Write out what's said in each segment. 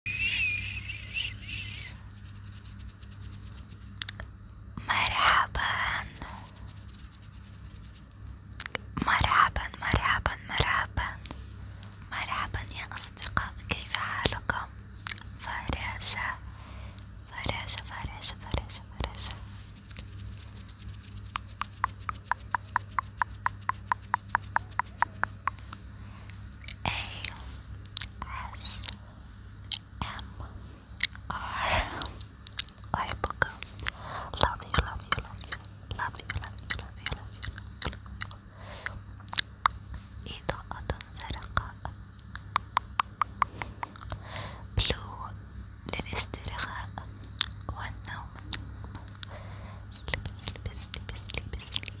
مرحبا مرحبا مرحبا مرحبا مرحبا يا أصدقاء كيف حالكم فراشة فراشة فراشة فراشة فراشة أيوه S M R Love you, love you, love you, love you, love you, love you, love you, love you. إذا أتنزرق blue للاسترخاء والنوم. Sleep, sleep, sleep, sleep, sleep.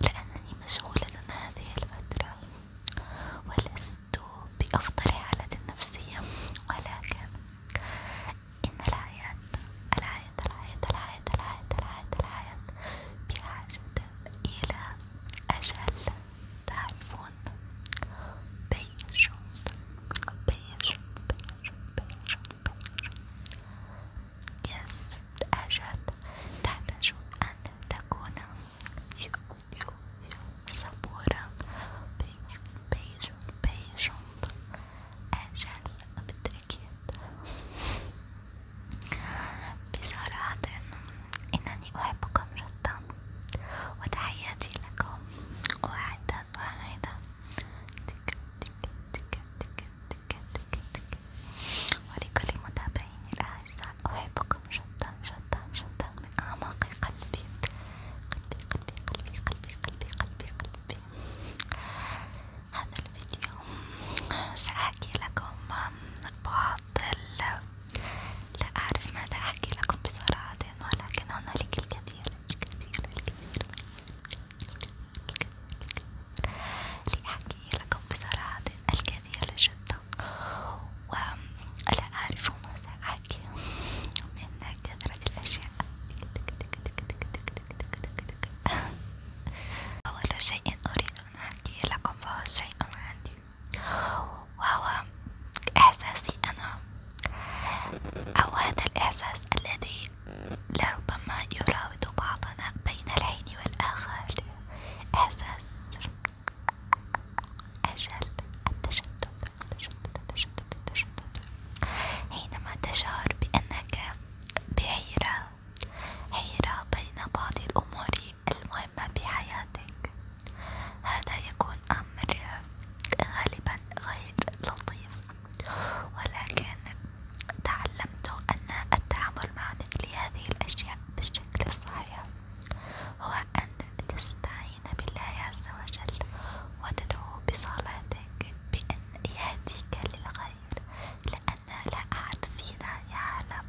لأنني مشغولة هذه الفترة ولست بأفضل حالة نفسية ولكن إن الحياة الحياة الحياة الحياة الحياة الحياة, الحياة بحاجة إلى أجل تعرفون بيجون بيجون بيجون بيجون بيجون Yes, أجل تحتاج أن تكون صبورا patient أجل بالتأكيد بصراحة إنني أحبكم جدا وتحياتي لكم واحدة واحدة تك تك تك تك تك كده كده كده ولكل متابعيني الأعزاء أحبكم جدا جدا جدا من أعماق قلبي قلبي قلبي قلبي قلبي قلبي قلبي قلبي هذا الفيديو سأحكي لكم بعض ال... لا أعرف ماذا أحكي لكم بصراحة ولكن هنالك الكثير الكثير الكثير الكثير لأحكي لكم بصراحة الكثير جدا ولا أعرف ما سأحكي من كثرة الأشياء أول شيء أريد أن أحكي لكم فهو شيء عندي وهو إحساسي أنا أو هذا الإحساس الذي لربما يراود بعضنا بين الحين والآخر إحساس أجل التشتت التشتت التشتت التشتت حينما تشعر بأنك بحيرة حيرة بين بعض الأمور المهمة بحياتك هذا يكون أمر غالبا غير لطيف ولكن تعلمت أن التعامل مع مثل هذه الأشياء بالشكل الصحيح هو أن تستعين بالله عز وجل وتدعو بصلاتك بأن يهديك للخير لأن لا أحد فينا يعلم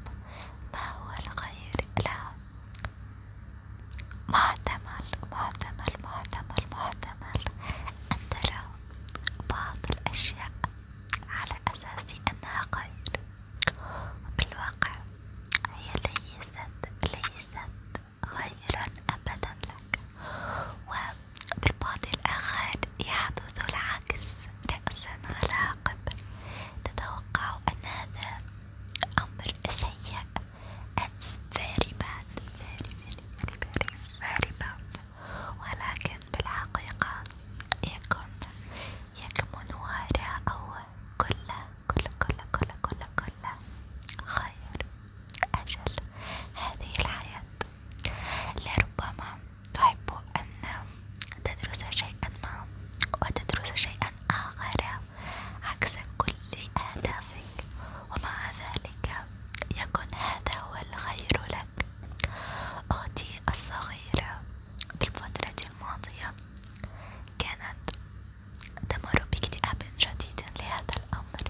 ما هو الخير له محتمل محتمل محتمل محتمل أن ترى بعض الأشياء على أساس أنها خير بالواقع هي ليست ليست خيرا أبدا لك وبالبعد الآخر يحدث العكس رأسا على عقب تتوقع أن هذا أمر سيء It's very bad very very very very very bad ولكن بالحقيقة يكن يكمن وراءه كل كل كل كل خير أجل هذه الحياة لربما تحب أن تدرس شيئا ما وتدرس شيئا آخر عكس كل أهدافك ومع ذلك يكن هذا هو الخير لك ذاك أختي الصغيرة في الفترة الماضية كانت تمر باكتئاب شديد لهذا الأمر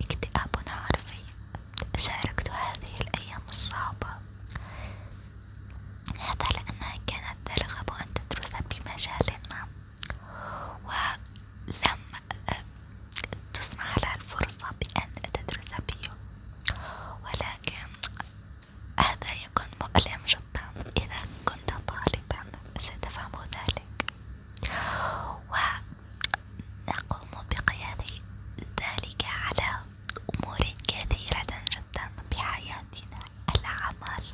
اكتئاب عرفي شاركت هذه الأيام الصعبة هذا لأنها كانت ترغب أن تدرس بمجال ما ولم تسمح لها الفرصة بأن تدرس بيو ولكن هذا يكون مؤلم جدا إذا كنت طالبا ستفهم ذلك ونقوم بقياده ذلك على أمور كثيرة جدا بحياتنا العمل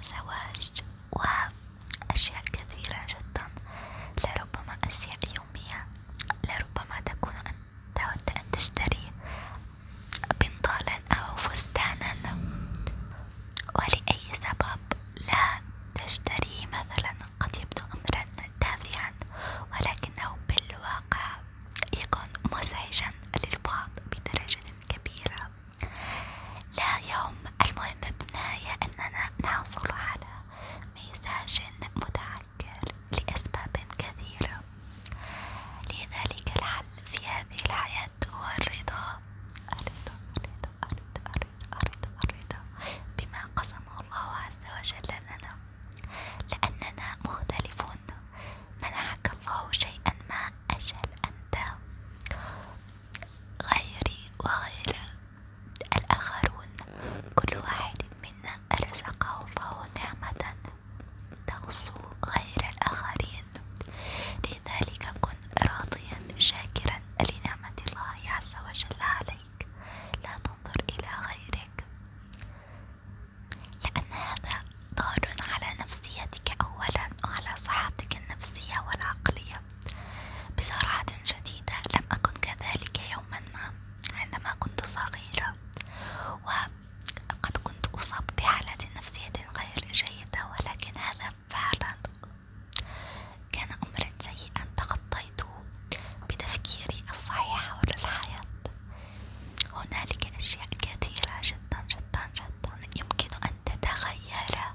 الزواج وأشياء كثيرة جدا لربما أشياء يومية لربما تكون أنت تود أن تشتري بنطالا أو فستانا ولأي سبب لا تشتريه مثلا قد يبدو أمرا تافها ولكنه بالواقع يكون مزعجا للبعض بدرجة كبيرة لا يوم المهم بناية أننا نحصل على مزاج متعدد يعكر لأسباب كثيرة، لذلك الحل في هذه الحياة هو الرضا، الرضا الرضا الرضا الرضا الرضا, الرضا بما قسمه الله عز وجل لنا، لأننا مختلفون، منحك الله شيئا ما أجل أنت غيري وغيره الآخرون كل واحد منا رزقه الله نعمة تخص غير الآخرين لذلك كن راضيا شاكرا لنعمة الله عز وجل عليك لا تنظر إلى غيرك لأن هذا ضار على نفسيتك أولا وعلى صحتك النفسية والعقلية بصراحة شديدة لم أكن كذلك يوما ما عندما كنت صغيرة وقد كنت أصاب بحالة نفسية غير جيدة ولكن هذا فعلا كان أمرا سيئا تخطيته بتفكيري الصحيح حول الحياة هنالك أشياء كثيرة جدا جدا جدا يمكن أن تتغير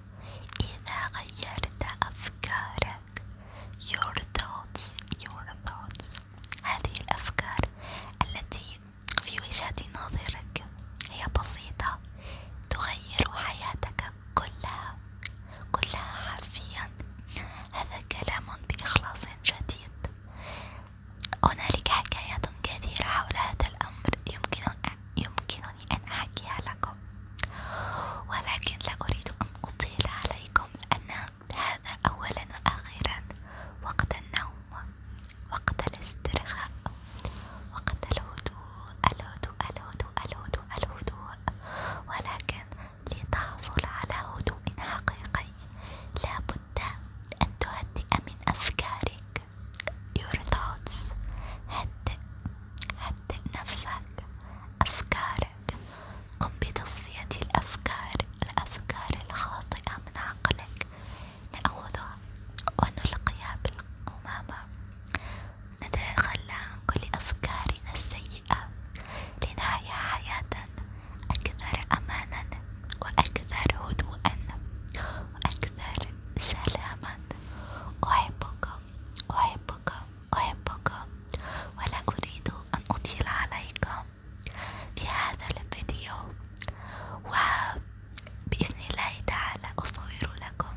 إذا غيرت أفكارك عندك your thoughts your thoughts هذه الأفكار التي في وجهة نظرك هي بسيطة تغير حياتك كلها كلها حرفيا هذا كلام بإخلاص جديد هنالك حكايات كثيرة حول هذا الأمر يمكنني أن أحكيها لكم لكم ولكن لا أريد أن أطيل عليكم أن هذا أولا وأخيرا وقت النوم وقت الاسترخاء وقت الهدوء الهدوء الهدوء الهدوء الهدوء ولكن لتحصل على هدوء حقيقي لابد أن تهدئ من أفكارك your thoughts هدئ هدئ نفسك أفكارك عقلك قم بتصفية الأفكار الأفكار الخاطئة من عقلك نأخذها ونلقيها بالقمامة نتخلى عن كل أفكارنا السيئة لنحيا حياة أكثر أمانا وأكثر هدوءا وأكثر سلاما أحبك أحبك أحبك ولا أريد أن أطيل عليك في هذا الفيديو وبإذن الله تعالى أصور لكم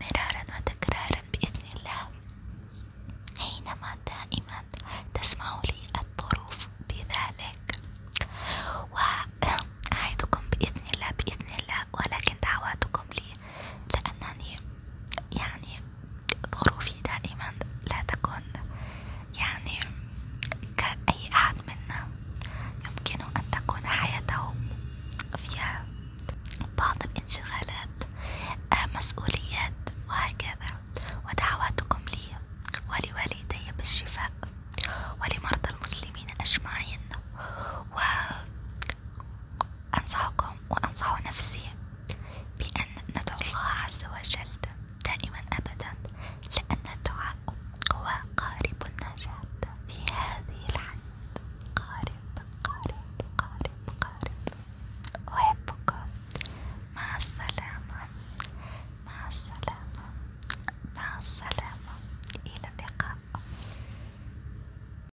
مرارا وتكرارا بإذن الله حينما دائما تسمع لي الظروف بذلك وأعدكم بإذن الله بإذن الله ولكن دعواتكم لي لأنني يعني ظروفي دائما لا تكون يعني كأي أحد منا يمكن أن تكون حياته فيها بعض الانشغالات مسؤوليات وهكذا ودعواتكم لي ولوالدي بالشفاء ولمرضى المسلمين أجمعين و... أنصحكم وأنصح نفسي بأن ندعو الله عز وجل دائما أبدا لأن الدعاء هو قارب النجاة في هذه الحياة قارب قارب قارب قارب أحبكم مع السلامة مع السلامة مع السلامة إلى اللقاء